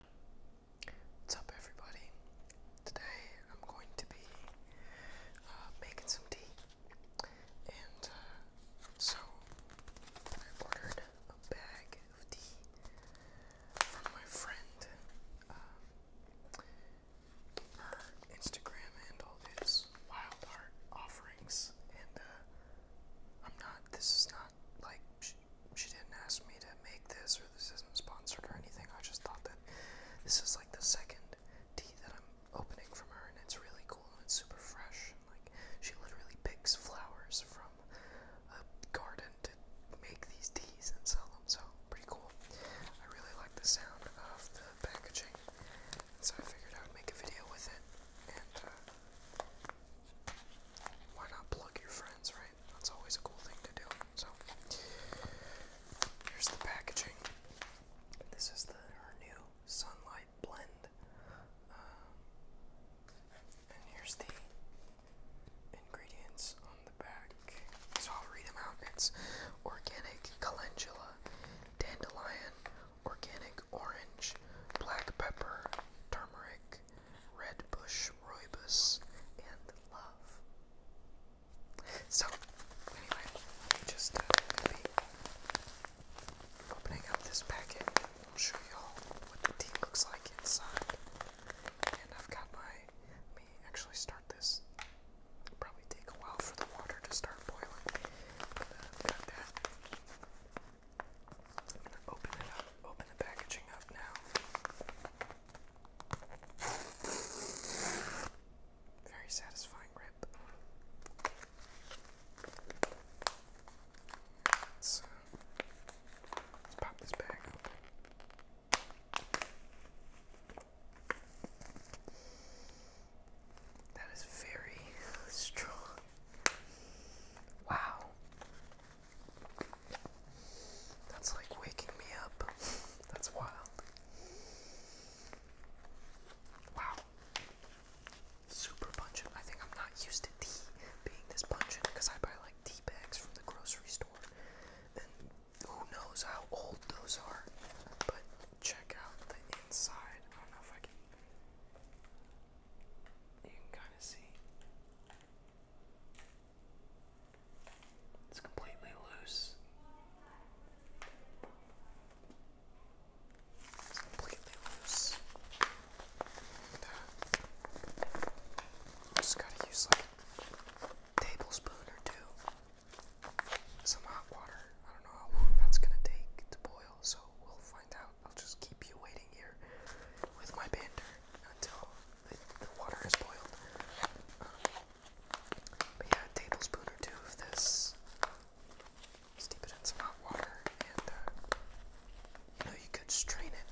What's up, everybody? Today I'm going to be uh, making some tea, and uh, so I ordered a bag of tea from my friend. Um, her Instagram handle is Wild Heart Offerings, and uh, I'm not. This is not like she didn't ask me to make this, or this isn't sponsored or anything. I just thought that this is like the second tea that I'm opening from her, and it's really cool and it's super fresh. like she literally picks flowers from a garden to make these teas and sell them, so pretty cool. I really like the sound of the packaging, and so I figured I would make a video with it. And uh, why not plug your friends, right? That's always a cool thing to do. So here's the packaging. This is the new sunlight blend. Um, and here's the ingredients on the back. So I'll read them out. It's organic calendula, dandelion, organic orange, black pepper, turmeric, Red bush, Roibus, and Love. So, anyway, just uh, opening up this packet I'll show you all what the tea looks like inside. And I've got my. me actually start this. probably take a while for the water to start boiling. But, uh, got that open it up, open the packaging up now. Very satisfying rip. Let's, uh, pop this bag That is very strong. Wow. That's like waking me up. That's wild. Wow. Super pungent. I think I'm not used to tea being this pungent because I buy like tea bags from the grocery store. And who knows how old those are. But check out the inside. I don't know if I can. You can kind of see. It's completely loose. It's completely loose. Just gotta use like a tablespoon or two. Some hot water. I don't know how long that's gonna take to boil, so we'll find out. I'll just keep you waiting here with my banter until the, water is boiled. Um, but yeah, tablespoon or two of this. Steep it in some hot water, and uh, you know you could strain it,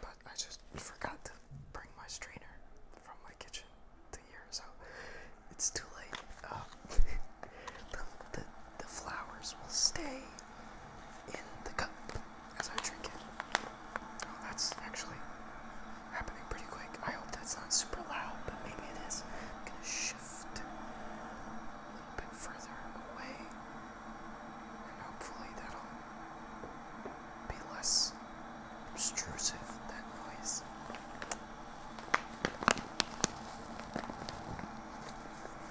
but I just forgot to bring my strainer from my kitchen to here, so it's too late. Um, the the flowers will stay in the cup as I drink it. Oh, that's actually happening pretty quick. I hope that's not super loud, but maybe its I'm gonna shift a little bit further away, and hopefully that'll be less obtrusive, that noise.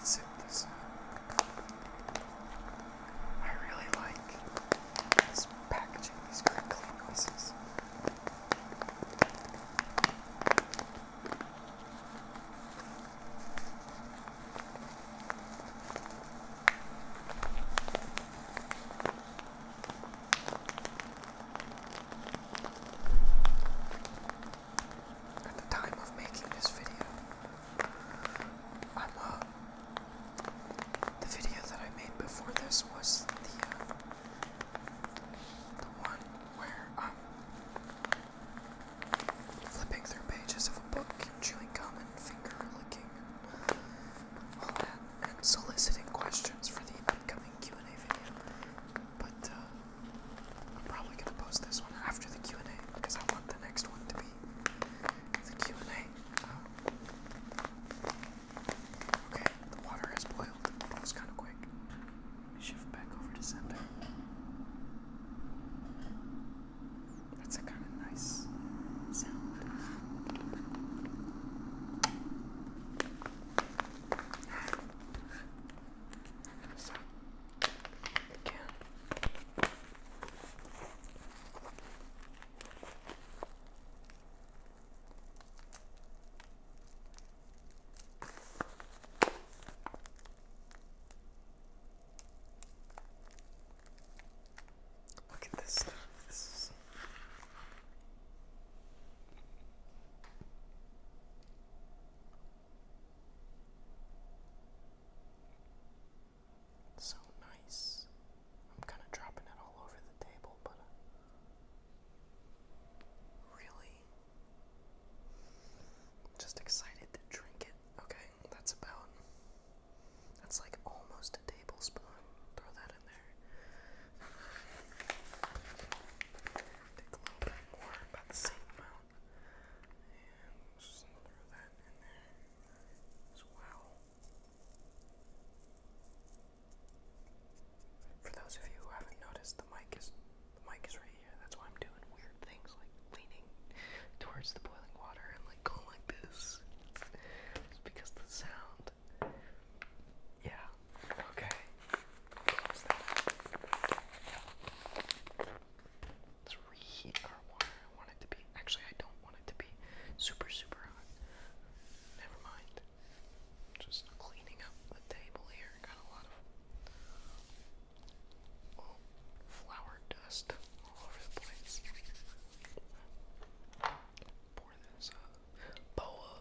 Zip this up. I really like this packaging, these crinkling noises. At the time of making this video, I'm the video that I made before this was the uh, the one where I'm um, flipping through pages of a book chewing gum and finger licking all that and soliciting questions for the upcoming Q and A video. But uh, I'm probably gonna post this one after the Q and A because I want the next one to be the Q&A. Oh. Okay, the water has boiled. That was kind of quick. Shift back over to center. That's a kind of nice sound. so, again, Look at this stuff. This is so nice. I'm kind of dropping it all over the table, but uh, really just excited to drink it. Okay, that's about that's like almost a tablespoon. Throw that in there. Take a little bit more, about the same amount. And just throw that in there as well. For those of you who haven't noticed, the mic is mic is right here. That's why I'm doing weird things like leaning towards the boiling water and like going like this. It's because the sound. Yeah. Okay. Close that three heat our water. I want it to be. Actually, I don't want it to be super, super hot. Never mind. Just cleaning up the table here. Got a lot of flour dust all over the place. Pour this uh, boa.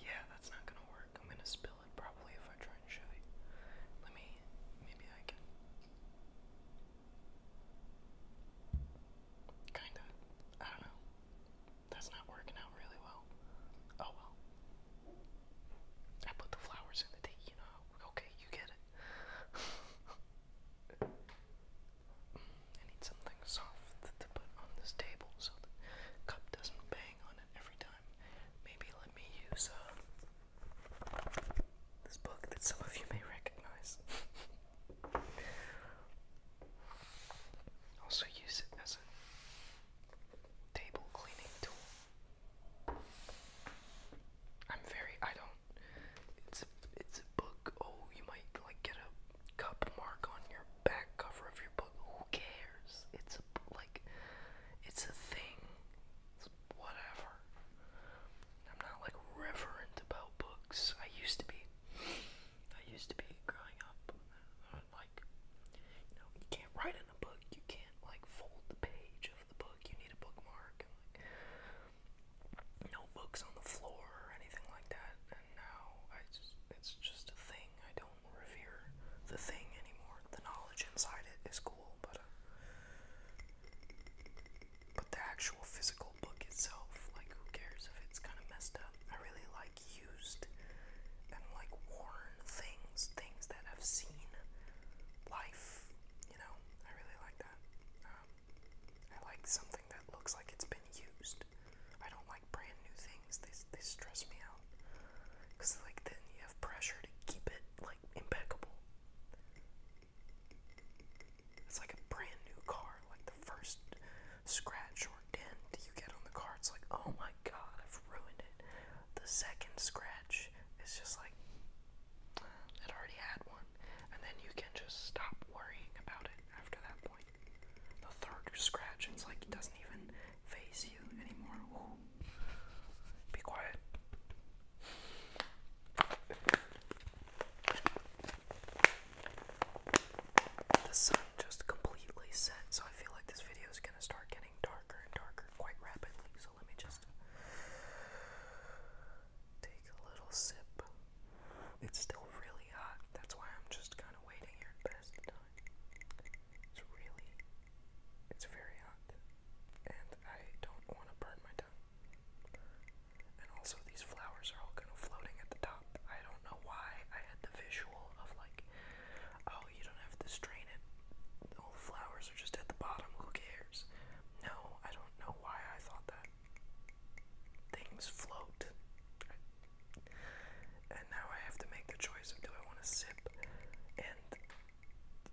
Yeah, that's not gonna work. I'm gonna spill it probably if I try and show it. Let me, maybe I can. Kinda. I don't know. That's not working out really well. Oh well. I put the flowers in the tea, you know. Okay, you get it. I need something soft to put on this table so the cup doesn't bang on it every time. Maybe let me use a uh, this book that some of you may recognize. Also use it as a table cleaning tool. I'm very I don't it's a it's a book. Oh, you might like get a cup mark on your back cover of your book. Who cares? It's a like it's a thing. whatever. I'm not like reverent about books. I used to be. I used to be growing up. I would like, you know, you can't write in a book. You can't like fold the page of the book. You need a bookmark. And, like, no books on the floor or anything like that. And now I just, it's just a thing. I don't revere the thing anymore. The knowledge inside it is cool, but. Uh, but the actual physical book itself. Like, who cares if it's kind of messed up? I really like used and like worn things, things that have seen life. You know, I really like that. Um, I like something that looks like it's been used. I don't like brand new things. They they stress me out. Cause like then you have pressure to keep it like impeccable. It's like a brand new car, like the first scratch or dent you get on the car, it's like, oh my god, I've ruined it. The second scratch is just like, it already had one. And then you can just stop worrying about it after that point. The third scratch, it's like it doesn't even phase you anymore. Ooh. Be quiet. The sun just completely set, so I feel like this video is going to start getting darker and darker quite rapidly. So let me just take a little sip. It's still really hot, that's why I'm just kind of waiting here at best time. It's really, it's very hot, and I don't want to burn my tongue. And also these flowers are all kind of floating at the top. I don't know why I had the visual of like, oh, you don't have to strain it. All the flowers are just at the bottom. Who cares? No, I don't know why I thought that. Things float. And now I have to make the choice of do I want to sip and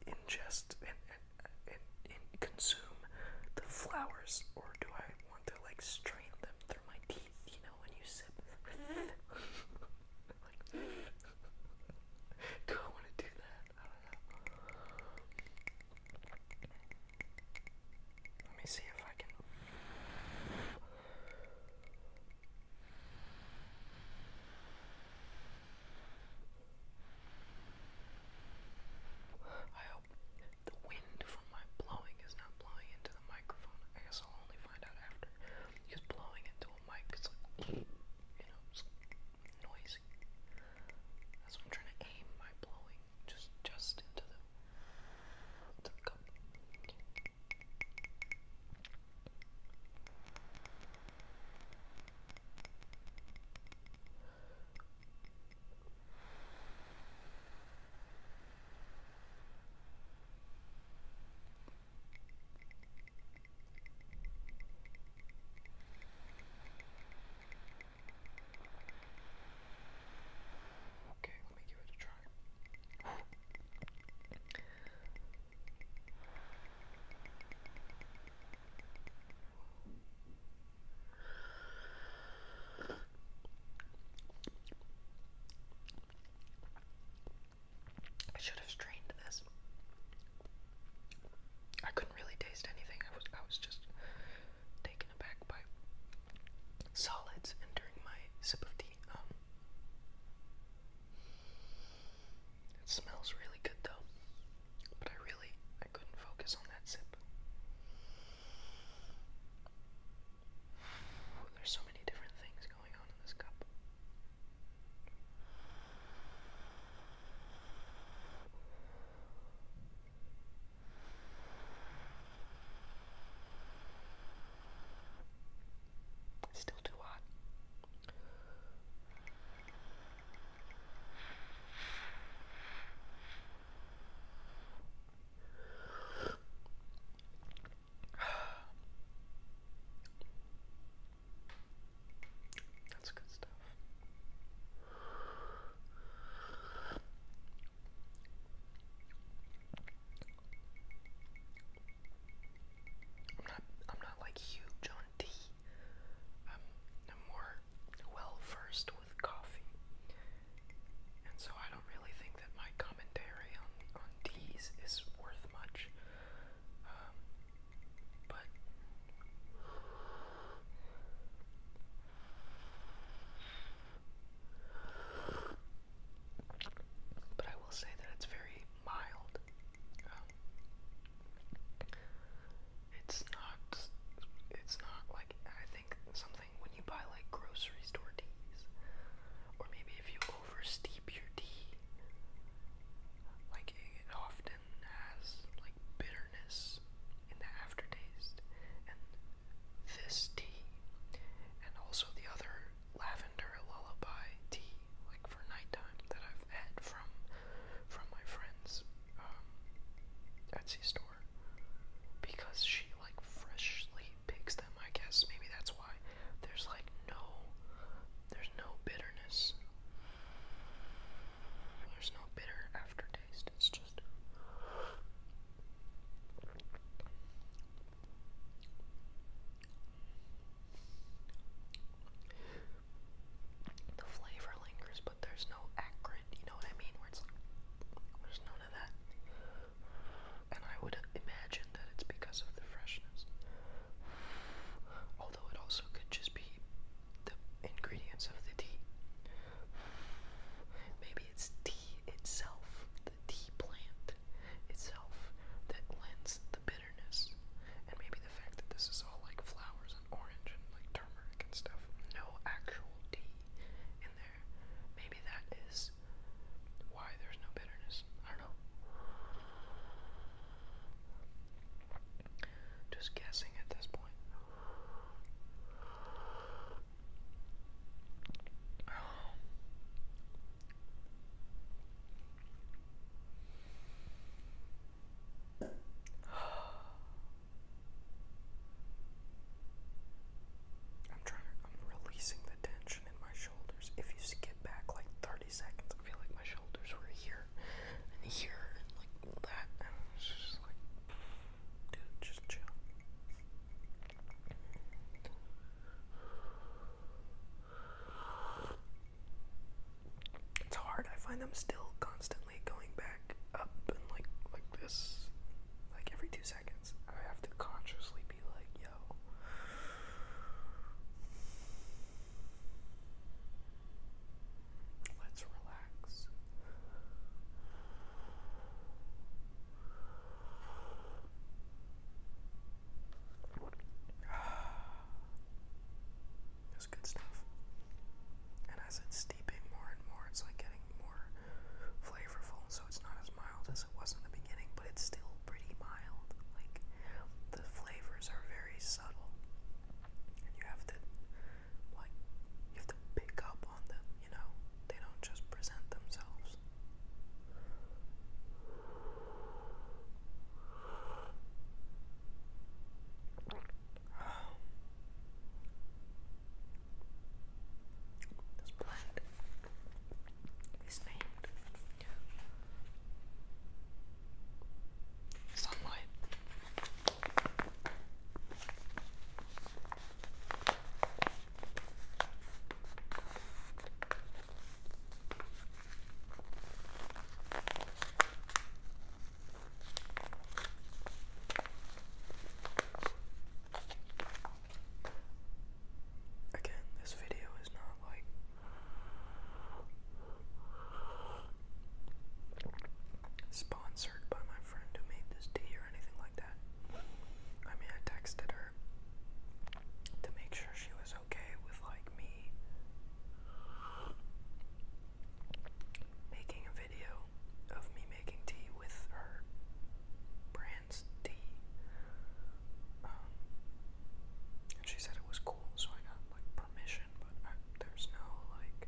ingest and, and, consume the flowers, or do I want to like strain them through my teeth? You know, when you sip. do I want to do that? Let me see if I can. I hope the wind from my blowing is not blowing into the microphone. I guess I'll only find out after. Because blowing into a mic is like, you know, it's noisy. That's why I'm trying to aim my blowing just just into the, the cup. Okay, let me give it a try. I should have strained this. I couldn't really taste anything. I was I was just taken aback by solids and during my sip of tea. Um it smells really good though. But I really I couldn't focus on that sip. there's so many different things going on in this cup. It's still too hot. That's good stuff. I'm not I'm not like huge on tea. I'm more well versed with coffee. And so I don't really think that my commentary on, on teas is worth much. Um, but. But I will say that it's very mild. Um, it's not. It's not like I think something when you buy like grocery store teas, or maybe if you oversteep your tea, like it often has like bitterness in the aftertaste. And this tea, and also the other lavender lullaby tea, like for nighttime that I've had from from my friends. Um, Etsy store because she like freshly picks them. I guess maybe that's why there's like no there's no bitterness. There's no bitter aftertaste. It's just the flavor lingers, but there's no acrid, you know what I mean? Where it's like, there's none of that. And I would imagine that it's because of the freshness. Although it also could just be the ingredients of the tea. Maybe it's tea itself, the tea plant itself, that lends the bitterness. And maybe the fact that this is all like flowers orange and like turmeric and stuff. No actual tea in there. Maybe that is why there's no bitterness. I don't know. Just guessing at this point. I'm trying I'm releasing the tension in my shoulders. If you skip back like 30 seconds, I feel like my shoulders were here and here and like that. And it's just like, dude, just chill. It's hard. I find I'm still constantly going back up and like like this, like every two seconds. I have to consciously be like, yo. Let's relax. That's good stuff. And as it's it's like getting more flavorful, so it's not as mild as it was in the beginning, but it's still pretty mild. Like the flavors are very subtle, and you have to like you have to pick up on them. You know, they don't just present themselves. Oh. This plant is named Sunlight. Again, this video is not like sponsored by my friend who made this tea or anything like that. I mean, I texted her to make sure she was okay with like me making a of me making tea with her brand's tea. Um, and she said it was cool, so I got like permission, but there's no like.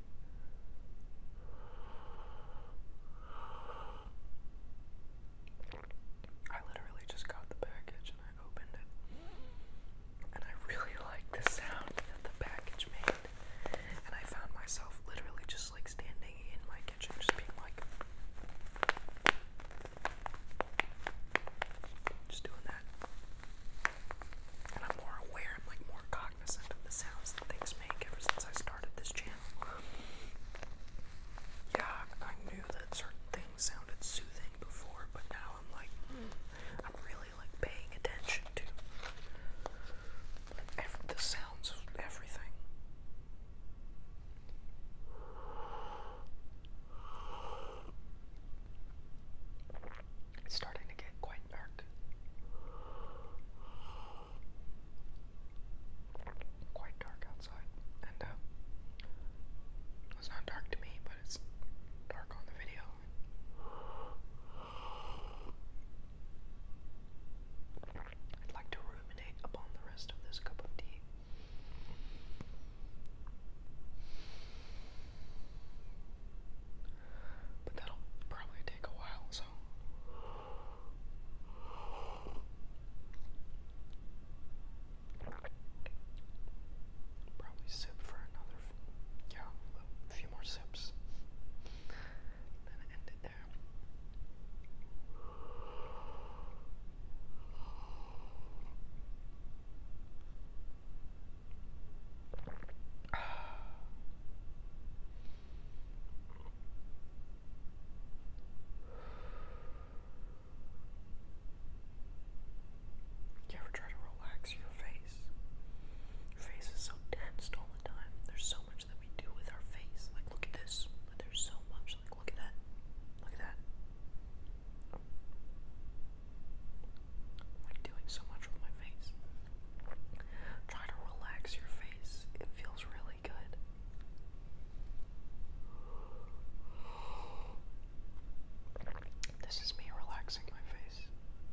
I literally just got the package and I opened it. And I really like the sound that the package made. And I found myself literally just like standing in my kitchen, just being like, just doing that. And I'm more aware, I'm like more cognizant of the sounds that things make ever since I started this channel. Yeah, I knew that certain things sounded soothing before, but now I'm like, hmm, I'm really like paying attention to. the sounds of everything. It's starting to get quite dark. Quite dark outside. And, uh, it's not dark to me, but it's dark on the video. I'd like to ruminate upon the rest of this cup of tea. But that'll probably take a while, so. Probably sip for another, yeah, a few more sips i You ever try to relax your face? face. face is so tensed all the time. There's so much that we do with our face. Like, look at this. there's so much. Like, look at that. Look at that. I'm doing so much with my face. Try to relax your face. It feels really good. This is me relaxing my face.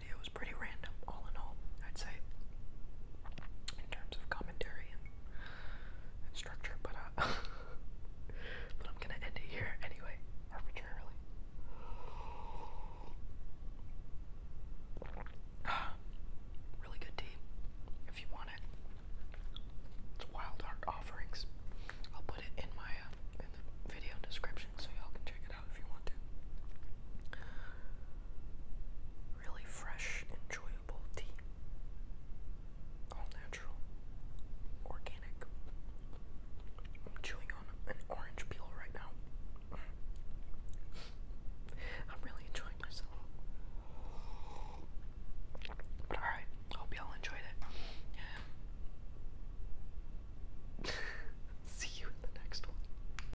video was pretty random, all in all, I'd say, in terms of commentary and, structure, but, uh, I'm gonna end it here anyway, arbitrarily. really good tea, if you want it. It's Wild Heart Offerings. I'll put it in my uh, video description so y'all can check it out if you want to really fresh, enjoyable tea. All natural, organic. I'm chewing on an orange peel right now. I'm really enjoying myself. But alright, hope y'all enjoyed it. See you in the next one.